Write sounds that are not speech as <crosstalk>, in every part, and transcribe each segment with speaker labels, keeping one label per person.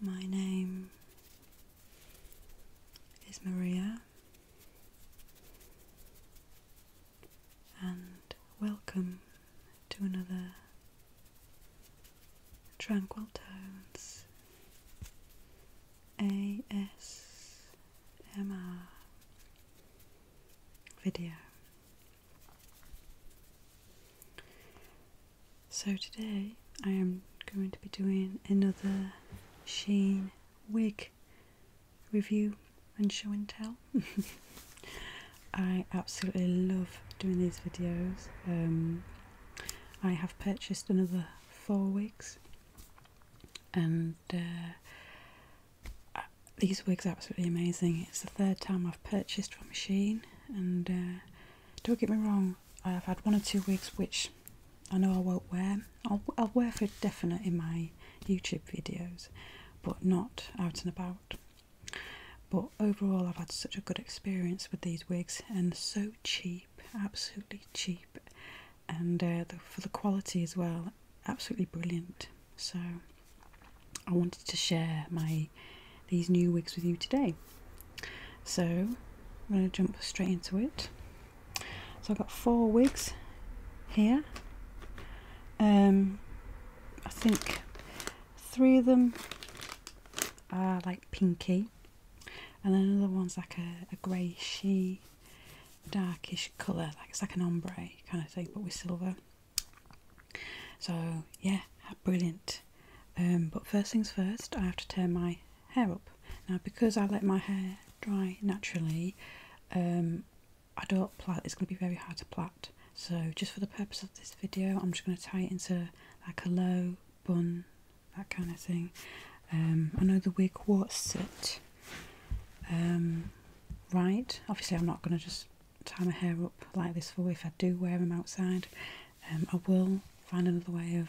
Speaker 1: My name is Maria, and welcome to another Tranquil Tones ASMR video. So today I am going to be doing another Sheen wig review and show and tell. <laughs> I absolutely love doing these videos. Um, I have purchased another four wigs and uh, these wigs are absolutely amazing. It's the third time I've purchased from Sheen and uh, don't get me wrong, I have had one or two wigs which I know I won't wear. I'll, I'll wear for definite in my YouTube videos, but not out and about. But overall, I've had such a good experience with these wigs and so cheap, absolutely cheap, and uh, for the quality as well, absolutely brilliant. So I wanted to share my these new wigs with you today. So I'm going to jump straight into it. So I've got four wigs here. Um, I think three of them are like pinky and then other one's like a, a darkish colour like it's like an ombre kind of thing but with silver so yeah brilliant um, but first things first, I have to turn my hair up. Now, because I let my hair dry naturally, um, I don't plait. It's going to be very hard to plait. So, just for the purpose of this video, I'm just going to tie it into like a low bun, that kind of thing. Um, I know the wig won't um, right. Obviously, I'm not going to just tie my hair up like this for if I do wear them outside. Um, I will find another way of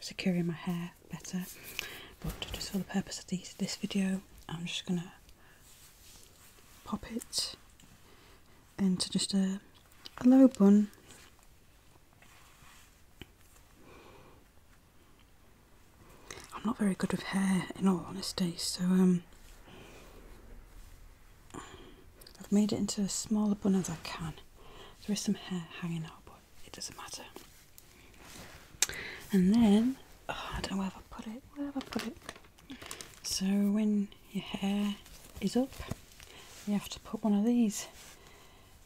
Speaker 1: securing my hair better, but just for the purpose of these, this video, I'm just gonna pop it into just a, a low bun. I'm not very good with hair, in all honesty, so um, I've made it into as small a bun as I can. There is some hair hanging out, but it doesn't matter. And then, oh, I don't know where I put it. Where have I put it? So when your hair is up, you have to put one of these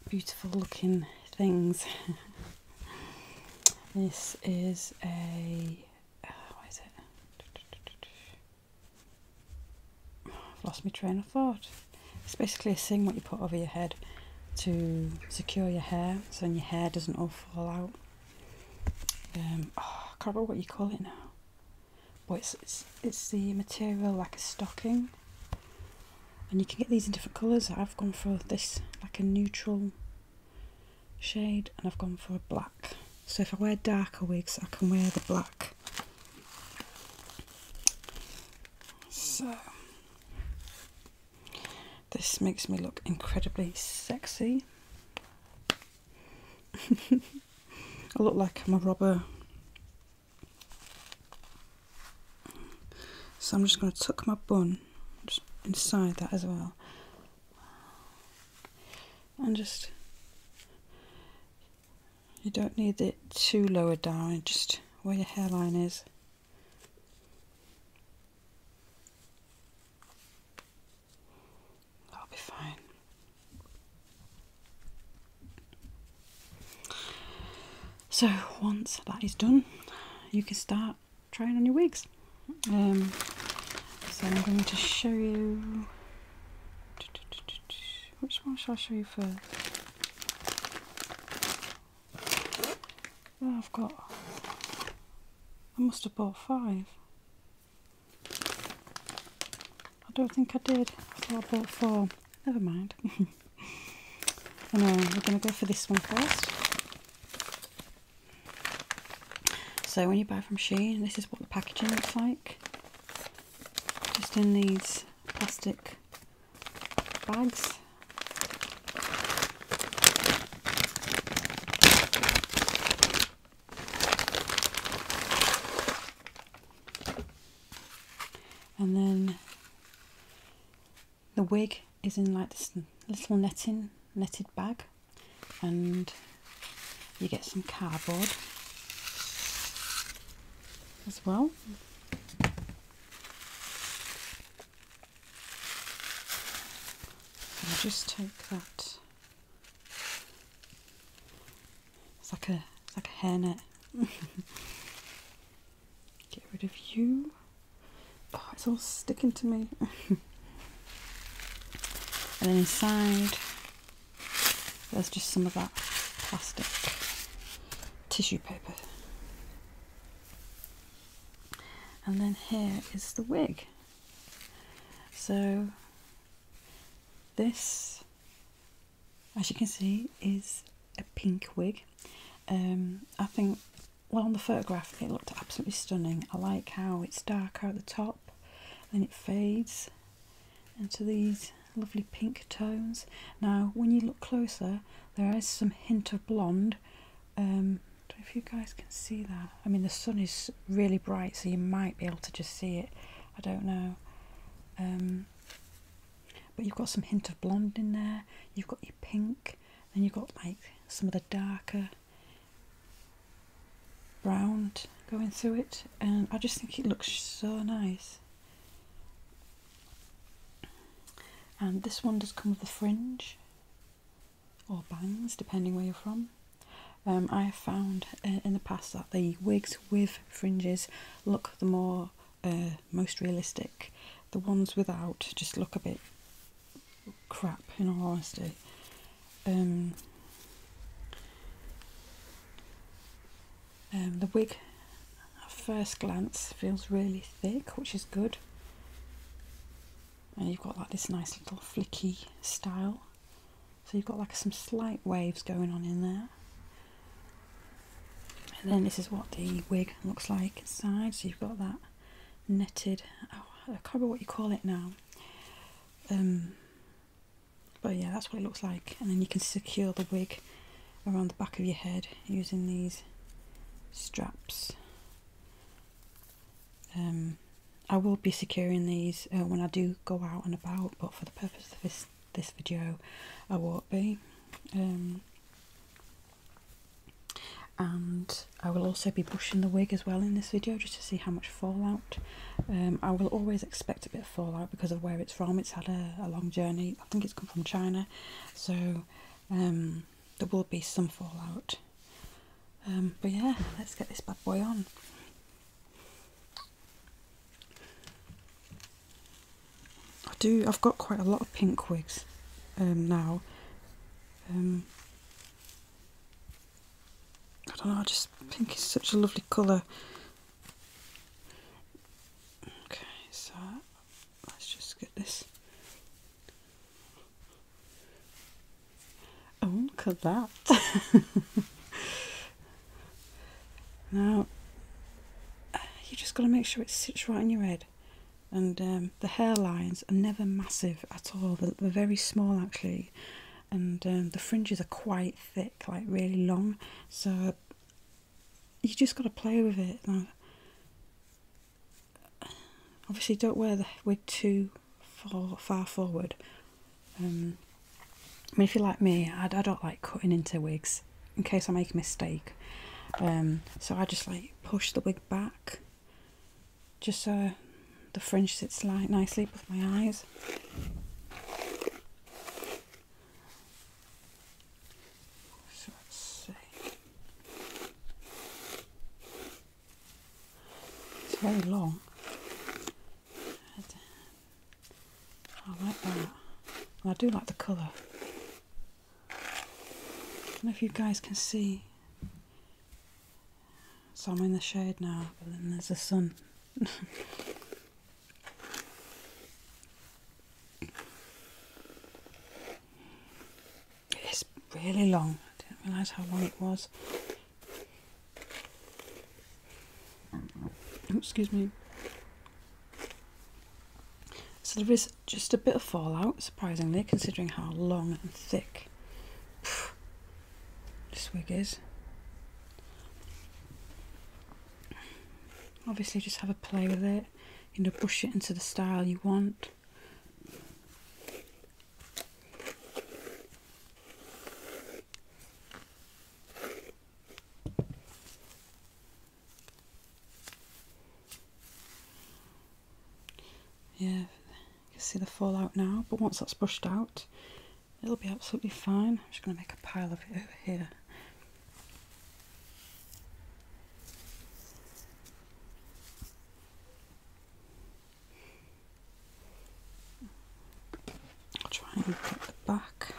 Speaker 1: beautiful looking things. <laughs> this is a uh, what is it? I've lost my train of thought. It's basically a thing what you put over your head to secure your hair so your hair doesn't all fall out. Um, oh, I can't remember what you call it now. But it's, it's, it's the material like a stocking. And you can get these in different colours. I've gone for this like a neutral shade and I've gone for a black. So if I wear darker wigs, I can wear the black so, this makes me look incredibly sexy. <laughs> I look like I'm a robber. So I'm just going to tuck my bun just inside that as well. And just you don't need it too lower down, just where your hairline is. That'll be fine. So once that is done, you can start trying on your wigs. Um, so I'm going to show you which one should I show you first? I've got. I must have bought five. I don't think I did. I thought I bought four. Never mind. anyway, <laughs> we're going to go for this one first. So when you buy from Sheen, this is what the packaging looks like just in these plastic bags. And then the wig is in like this little netting, netted bag and you get some cardboard as well. I'll just take that. It's like a it's like a hairnet. <laughs> Get rid of you. Oh, it's all sticking to me. <laughs> and then inside there's just some of that plastic tissue paper. And then here is the wig. So this, as you can see, is a pink wig. Um, I think, well, on the photograph, it looked absolutely stunning. I like how it's darker at the top, then it fades, into these lovely pink tones. Now, when you look closer, there is some hint of blonde. Um, don't know if you guys can see that. I mean, the sun is really bright, so you might be able to just see it. I don't know. Um, but you've got some hint of blonde in there. You've got your pink. and you've got like some of the darker brown going through it. And I just think it looks so nice. And this one does come with a fringe or bangs, depending where you're from. Um, I have found uh, in the past that the wigs with fringes look the more uh, most realistic. The ones without just look a bit crap, in all honesty. Um, um, the wig at first glance feels really thick, which is good. And you've got like this nice little flicky style. So you've got like some slight waves going on in there. And then this is what the wig looks like inside. So you've got that knitted, oh, I can't remember what you call it now. Um, but yeah that's what it looks like and then you can secure the wig around the back of your head using these straps um, I will be securing these uh, when I do go out and about but for the purpose of this this video I won't be um, and I will also be brushing the wig as well in this video just to see how much fallout um, I will always expect a bit fallout because of where it's from. It's had a, long journey. I think it's come from China, so um, there will be some fallout. Um, but yeah, let's get this bad boy on. I do. I've got quite a lot of pink wigs um, now. I don't know. I just pink is such a lovely colour. Okay, so let's just get this. Oh, look at that. now, you just got to make sure it sits right in your head. And um, the hairlines are never massive at all, they're, very small actually. And um, the fringes are quite thick, like really long. So you just got to play with it. obviously, don't wear the wig too far, forward. Um, I mean, if you're like me, I, don't like cutting into wigs in case I make a mistake. Um, so I just like push the wig back just so the fringe sits like nicely with my eyes. So let's see. It's very long. I like that. I do like the colour. I don't know if you guys can see. So I'm in the shade now, but then there's the sun. <laughs> It is really long. I didn't realise how long it was. Oh, excuse me. So there is just a bit of fallout, surprisingly, considering how long and thick <sighs> this wig is obviously just have a play with it you know brush it into the style you want yeah you can see the fallout now but once that's brushed out it'll be absolutely fine I'm just going to make a pile of it over here I'll try and get the back.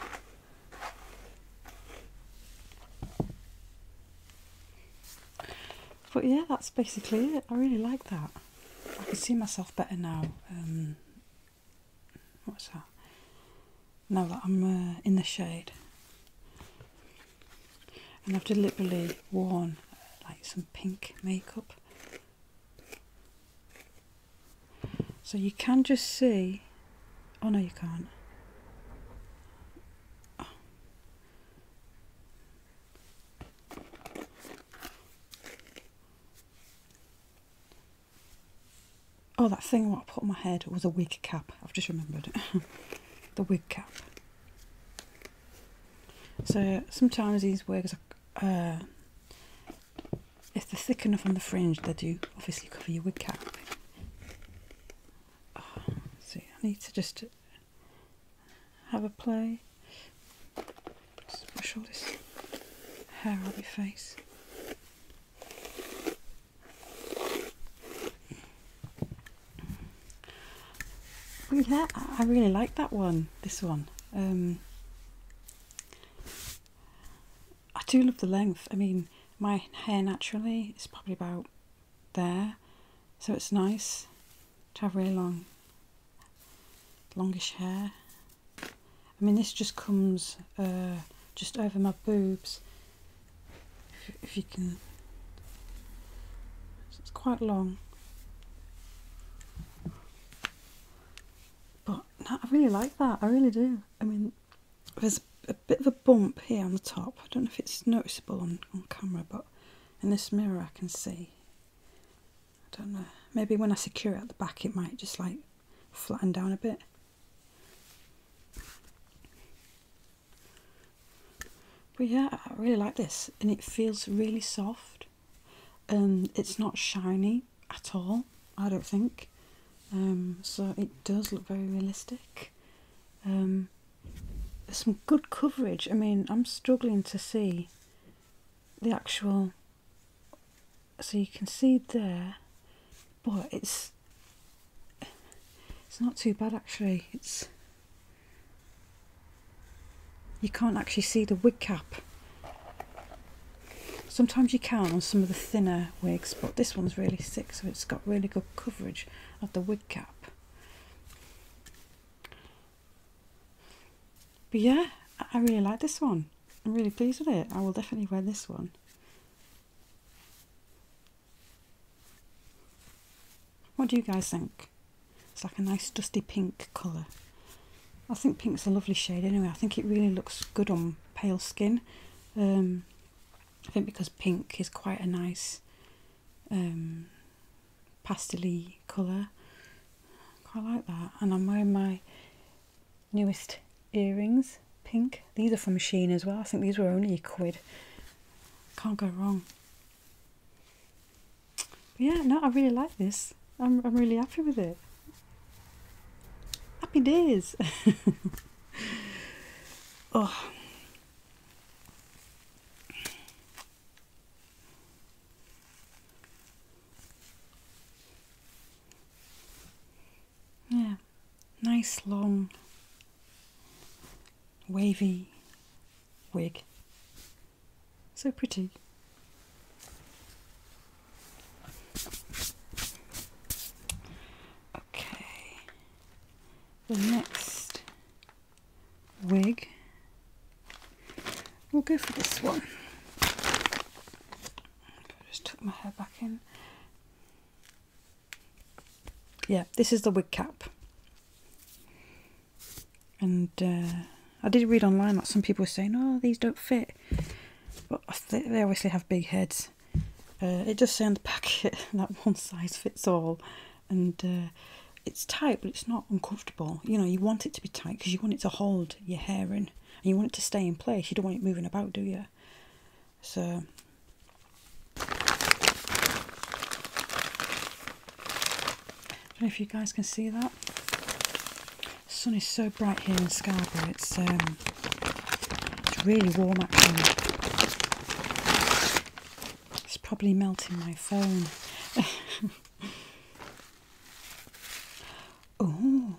Speaker 1: But yeah, that's basically it. I really like that. I can see myself better now um, What's that? Now that I'm uh, in the shade, and I've deliberately worn like some pink makeup, so you can just see. Oh no, you can't. Oh, that thing what I put on my head was a wig cap. I've just remembered <laughs> the wig cap. So sometimes these wigs, are, uh, if they're thick enough on the fringe, they do obviously cover your wig cap. Ah, see, I need to just have a play. Just brush all this hair out of your face. Look oh, I really like that one, this one. Um, I do love the length. I mean, my hair naturally is probably about there, so it's nice to have really long, longish hair. I mean this just comes uh, just over my boobs if, if you can it's quite long but no, I really like that I really do I mean there's a bit of a bump here on the top I don't know if it's noticeable on, on camera but in this mirror I can see I don't know maybe when I secure it at the back it might just like flatten down a bit but yeah, I really like this, and it feels really soft. Um, it's not shiny at all, I don't think. Um, so it does look very realistic. Um, some good coverage. I mean, I'm struggling to see the actual so you can see there but it's it's not too bad actually it's you can't actually see the wig cap sometimes you can on some of the thinner wigs but this one's really thick so it's got really good coverage of the wig cap but yeah I really like this one I'm really pleased with it I will definitely wear this one what do you guys think? It's like a nice dusty pink colour. I think pink's a lovely shade anyway. I think it really looks good on pale skin. Um, I think because pink is quite a nice um, pastely colour. quite like that. And I'm wearing my newest earrings, pink. These are from Sheen as well. I think these were only a quid. Can't go wrong. yeah, no, I really like this. I'm, I'm really happy with it. Happy days. <laughs> oh. Yeah nice long wavy wig. So pretty. Okay, the next wig, we'll go for this one. I just tuck my hair back in yeah, this is the wig cap. And uh, I did read online that some people were saying, oh, these don't fit. But they obviously have big heads. Uh, it does say in the packet <laughs> that one size fits all. And uh, it's tight, but it's not uncomfortable. You know, you want it to be tight because you want it to hold your hair in. And you want it to stay in place. You don't want it moving about, do you? So I don't know if you guys can see that. The sun is so bright here in Scarborough. It's um, it's really warm actually. It's probably melting my phone. <laughs> oh,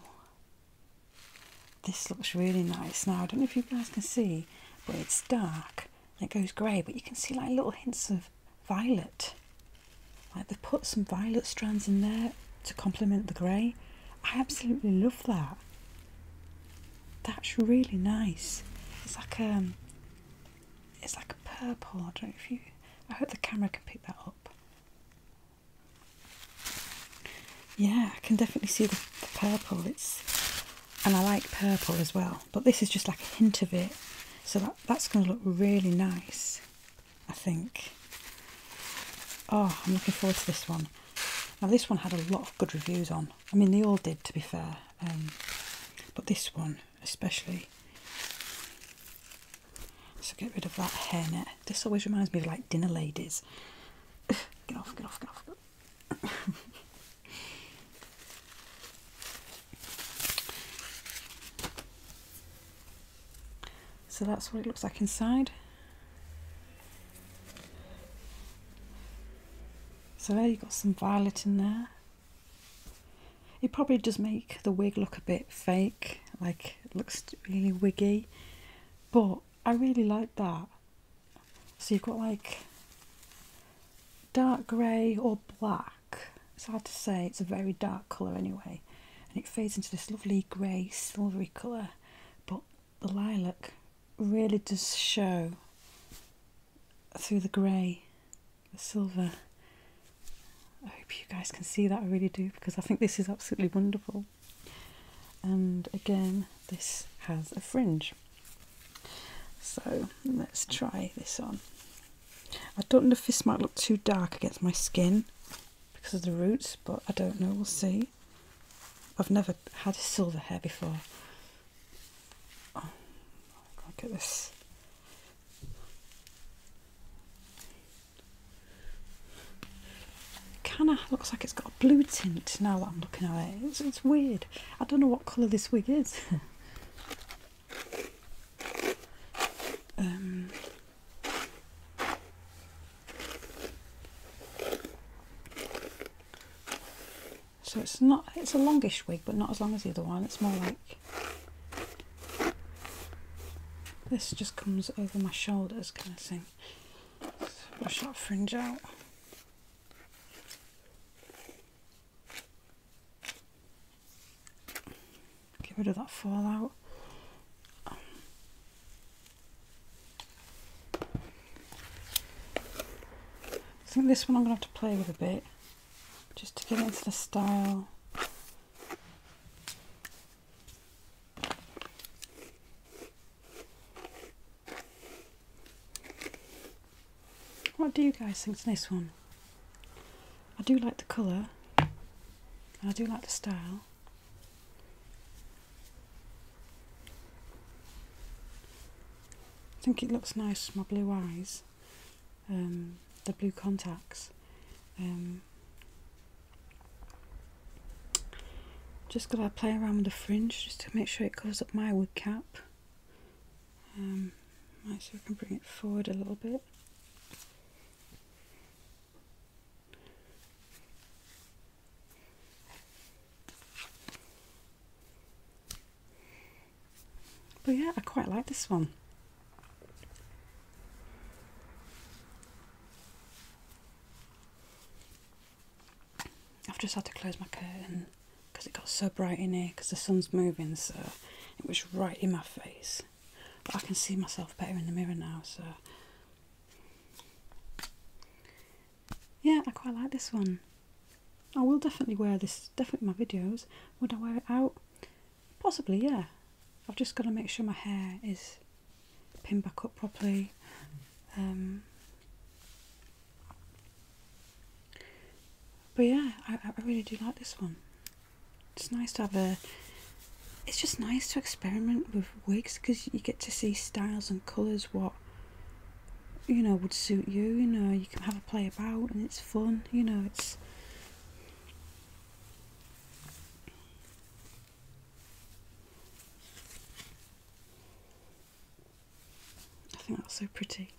Speaker 1: this looks really nice. Now, I don't know if you guys can see, but it's dark it goes grey, but you can see like little hints of violet. Like they have put some violet strands in there to complement the grey. I absolutely love that. That's really nice. It's like a, um, it's like a purple, I don't know if you I hope the camera can pick that up. Yeah, I can definitely see the, purple. It's and I like purple as well, but this is just like a hint of it. So that, that's going to look really nice, I think. Oh, I'm looking forward to this one. Now this one had a lot of good reviews on. I mean, they all did, to be fair. Um, but this one especially. So get rid of that hairnet. This always reminds me of like dinner ladies. <laughs> get off, get off, get off. so that's what it looks like inside. So there you've got some violet in there. It probably does make the wig look a bit fake, like it looks really wiggy, but I really like that. So you've got like dark grey or black. It's hard to say, it's a very dark colour anyway. And it fades into this lovely grey, silvery colour. But the lilac really does show through the grey, the silver. I hope you guys can see that, I really do, because I think this is absolutely wonderful and again this has a fringe so let's try this on I don't know if this might look too dark against my skin because of the roots but I don't know we'll see I've never had silver hair before look oh, at this Kind of looks like it's got a blue tint now I'm looking at it. It's, weird. I don't know what colour this wig is. <laughs> Um, so it's not, it's a longish wig, but not as long as the other one. It's more like this just comes over my shoulders kind of thing Push that fringe out. Get rid of that fallout. I think this one I'm going to have to play with a bit just to get into the style. What do you guys think of this one? I do like the colour I do like the style. I think it looks nice with my blue eyes, um, the blue contacts. Um, just going to play around with the fringe just to make sure it covers up my wood cap. Um, so I can bring it forward a little bit. But yeah, I quite like this one. I've just had to close my curtain because it got so bright in here because the sun's moving, so it was right in my face. But I can see myself better in the mirror now, so yeah, I quite like this one. I will definitely wear this, definitely my videos. Would I wear it out? Possibly, yeah. I've just got to make sure my hair is pin back up properly. Um, but yeah, I, I really do like this one. It's nice to have a. It's just nice to experiment with wigs because you get to see styles and colours what you know would suit you. You know, you can have a play about and it's fun. You know, it's. I think that's so pretty.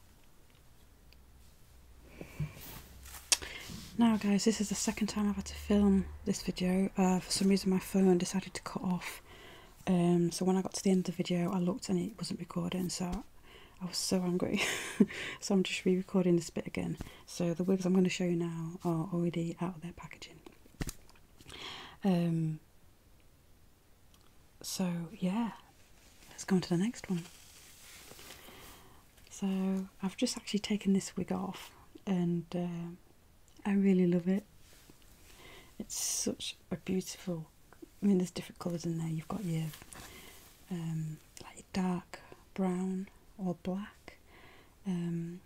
Speaker 1: Now guys, this is the second time I've had to film this video. Uh, for some reason my phone decided to cut off. Um, so when I got to the end of the video, I looked and it wasn't recording. So I was so angry. <laughs> so I'm just re-recording this bit again. So the wigs I'm going to show you now are already out of their packaging. Um, so, yeah, let's go on to the next one. So, I've just actually taken this wig off and uh, I really love it. It's such a beautiful, I mean, there's different colours in there. You've got your um, like dark brown or black. Um,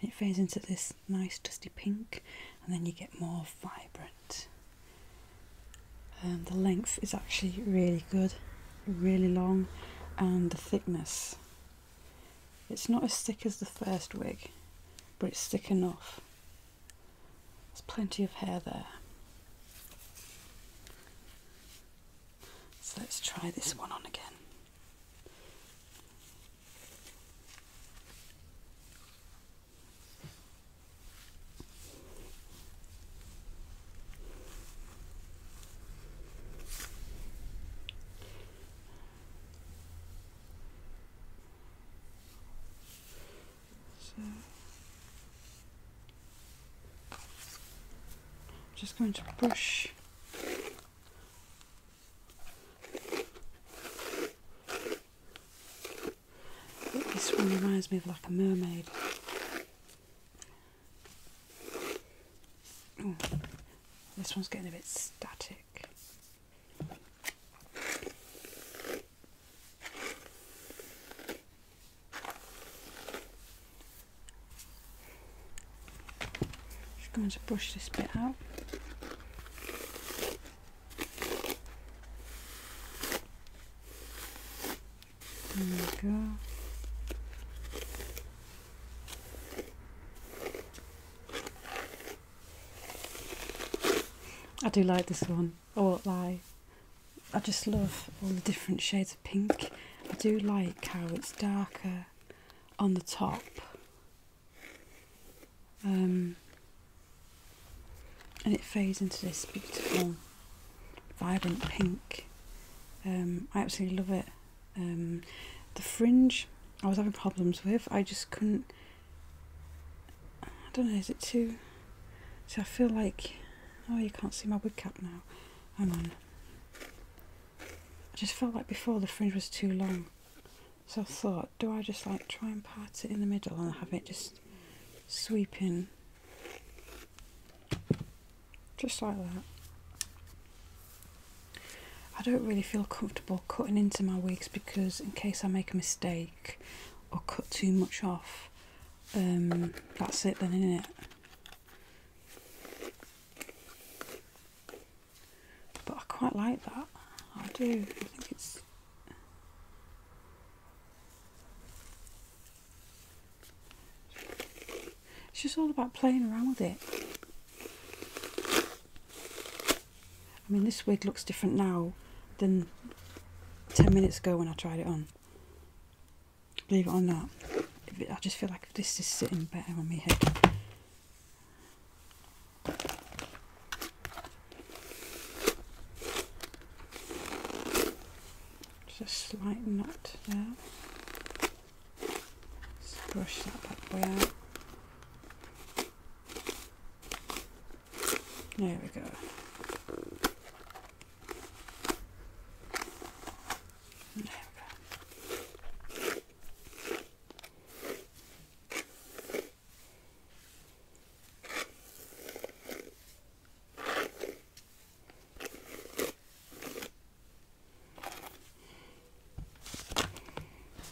Speaker 1: and it fades into this nice dusty pink and then you get more vibrant um, the length is actually really good really long and the thickness it's not as thick as the first wig but it's thick enough there's plenty of hair there so let's try this one on again so I'm just going to brush this one reminds me of like a mermaid. this one's getting a bit static. Just going to brush this bit out. There we go. I do like this one, I won't lie. I just love all the different shades of pink. I do like how it's darker on the top um, and it fades into this beautiful, vibrant pink. Um, I absolutely love it. Um, the fringe I was having problems with. I just couldn't. I don't know. Is it too? So I feel like. Oh, you can't see my wig cap now. Hang on. I just felt like before the fringe was too long. So I thought, do I just like try and part it in the middle and have it just sweeping just like that. I don't really feel comfortable cutting into my wigs because in case I make a mistake or cut too much off, um, that's it then, isn't it? But I quite like that. I do. I think it's. It's just all about playing around with it. I mean, this wig looks different now than 10 minutes ago when I tried it on. Believe it or not, I just feel like this is sitting better on my head. Just a slight knot there. brush that back boy out. There we go. There we go.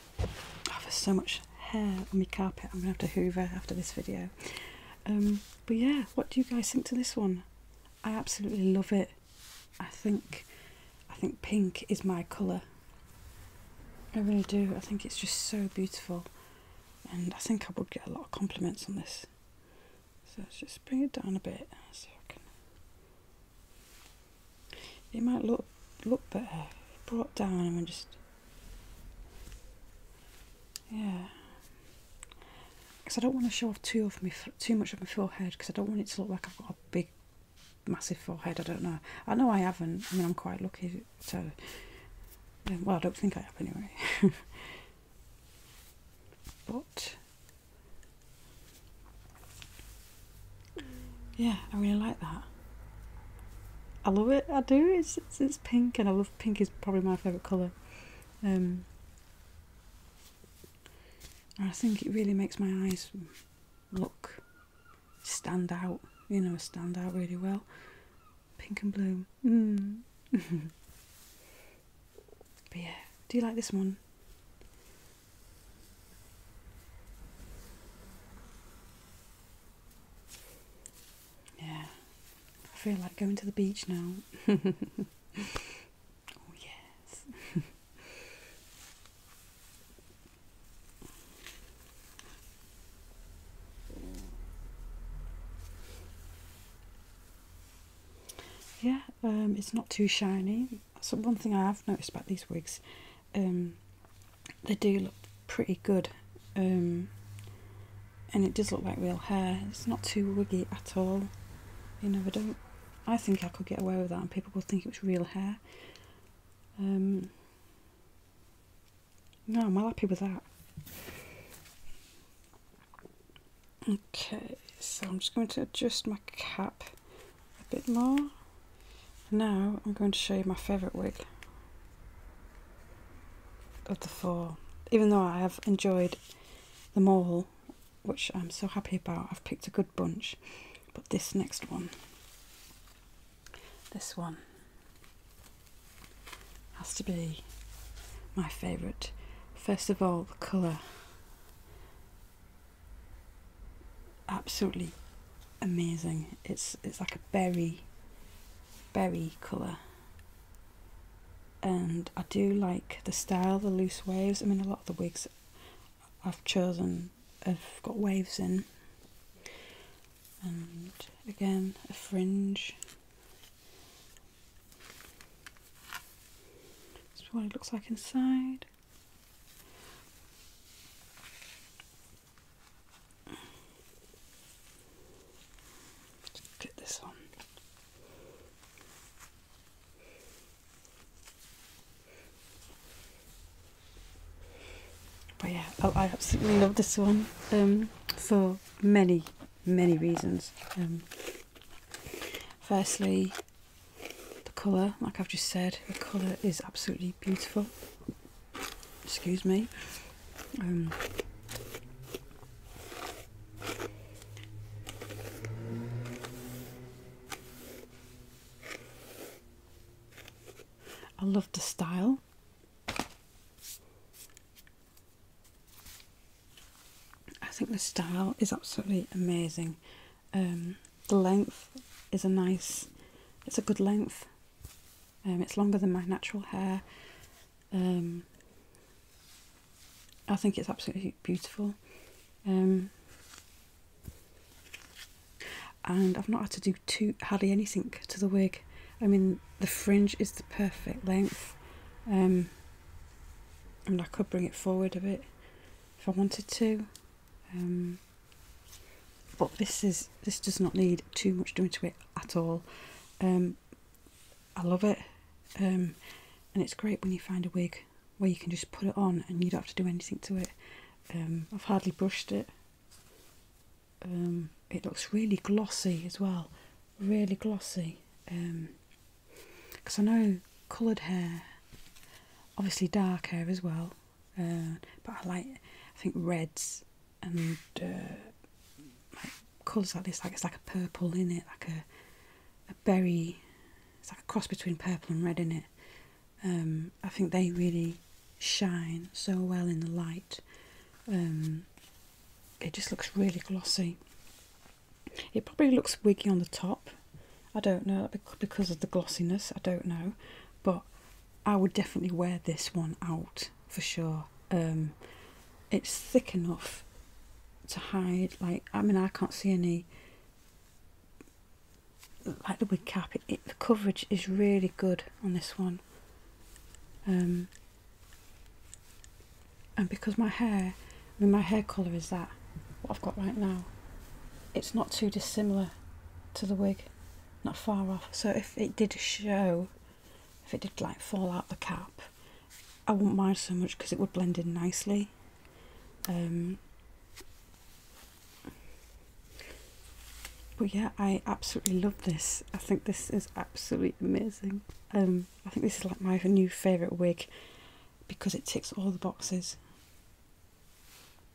Speaker 1: Oh, there's so much hair on my carpet. I'm gonna have to hoover after this video. Um, but yeah, what do you guys think to this one? I absolutely love it. I think I think pink is my colour. I really do. I think it's just so beautiful, and I think I would get a lot of compliments on this. So let's just bring it down a bit. So I can. It might look look better brought down and just yeah. Because I don't want to show off too of my too much of my forehead because I don't want it to look like I've got a big massive forehead. I don't know. I know I haven't. I mean, I'm quite lucky So, Well, I don't think I have anyway. <laughs> but yeah, I really like that. I love it. I do. It's it's, it's pink, and I love pink. is probably my favorite color. Um, I think it really makes my eyes look stand out you know stand out really well pink and blue mm. <laughs> but yeah do you like this one yeah i feel like going to the beach now <laughs> oh yes <laughs> yeah, um, it's not too shiny. So one thing I have noticed about these wigs, um, they do look pretty good, um, and it does look like real hair. It's not too wiggy at all. You know, don't. I think I could get away with that, and people would think it was real hair. Um, no, I'm happy with that. Okay, so I'm just going to adjust my cap a bit more. Now I'm going to show you my favourite wig of the four. Even though I have enjoyed them all, which I'm so happy about, I've picked a good bunch. But this next one, this one has to be my favourite. First of all, the colour. Absolutely amazing. It's it's like a berry berry colour. And I do like the style, the loose waves. I mean a lot of the wigs I've chosen i have got waves in and again a fringe this is what it looks like inside get this on but yeah, oh, I absolutely love this one um, for many, many reasons. Um, firstly, the colour, like I've just said, the colour is absolutely beautiful. Excuse me. Um, I love the style. I think the style is absolutely amazing. Um, the length is a nice, it's a good length. Um, it's longer than my natural hair. Um, I think it's absolutely beautiful and I've not had to do too hardly anything to the wig. I mean, the fringe is the perfect length. Um, and I could bring it forward a bit if I wanted to, um, but this is this does not need too much doing to it at all. Um, I love it, and it's great when you find a wig where you can just put it on and you don't have to do anything to it. Um, I've hardly brushed it. Um, it looks really glossy as well, really glossy. Because um, I know coloured hair, obviously dark hair as well, uh, but I like, I think reds and uh, colours like this, like it's like a purple in it, like a, a berry. It's like a cross between purple and red in it. Um, I think they really shine so well in the light. Um, it just looks really glossy. It probably looks wiggy on the top. I don't know because of the glossiness. I don't know, but I would definitely wear this one out for sure. Um, it's thick enough to hide. Like I mean, I can't see any like the wig cap, it, the coverage is really good on this one. Um, and because my hair, I mean my hair colour is that, what I've got right now, it's not too dissimilar to the wig, not far off. So if it did show, if it did like fall out the cap, I wouldn't mind so much because it would blend in nicely. Um, but yeah i absolutely love this i think this is absolutely amazing um, i think this is like my new favorite wig because it ticks all the boxes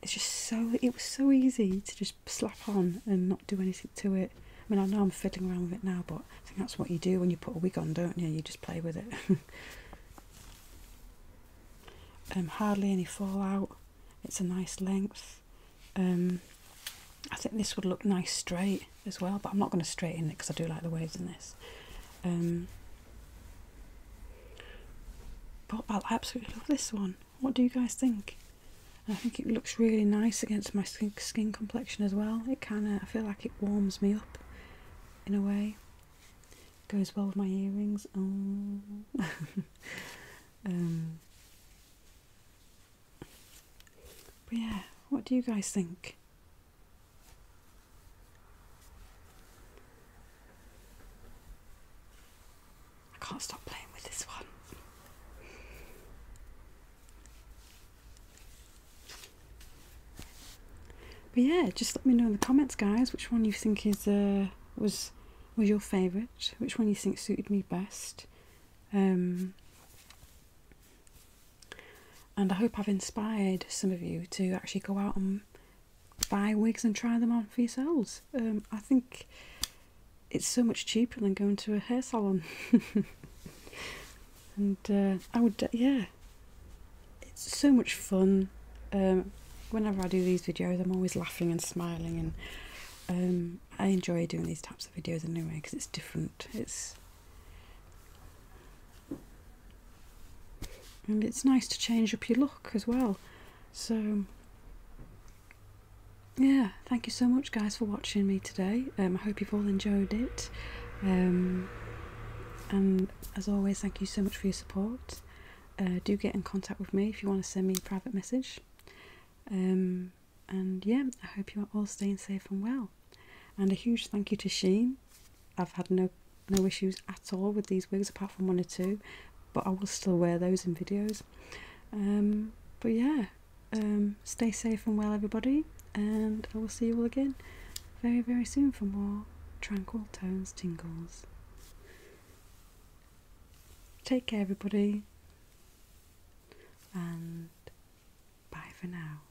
Speaker 1: it's just so it was so easy to just slap on and not do anything to it i mean i know i'm fiddling around with it now but i think that's what you do when you put a wig on don't you you just play with it <laughs> um hardly any fallout it's a nice length. Um, I think this would look nice straight as well, but I'm not going to straighten it because I do like the waves in this. Um, but I absolutely love this one. What do you guys think? I think it looks really nice against my skin, skin complexion as well. It kind of, I feel like it warms me up in a way. Goes well with my earrings. Oh. <laughs> um. But yeah, what do you guys think? I can't stop playing with this one. But yeah, just let me know in the comments, guys, which one you think is uh was was your favourite? Which one you think suited me best? Um, and I hope I've inspired some of you to actually go out and buy wigs and try them on for yourselves. Um, I think it's so much cheaper than going to a hair salon. <laughs> and uh, I would, yeah, it's so much fun. Um, whenever I do these videos, I'm always laughing and smiling, and um, I enjoy doing these types of videos in a new way because it's different. It's and it's nice to change up your look as well. So yeah, thank you so much, guys, for watching me today. Um, I hope you've all enjoyed it. and as always, thank you so much for your support. Uh, do get in contact with me if you want to send me a private message. Um, and yeah, I hope you are all staying safe and well. And a huge thank you to Sheen. I've had no no issues at all with these wigs apart from one or two, but I will still wear those in videos. Um, but yeah, um, stay safe and well, everybody, and I will see you all again very, very soon for more tranquil tones tingles. Take care, everybody, and bye for now.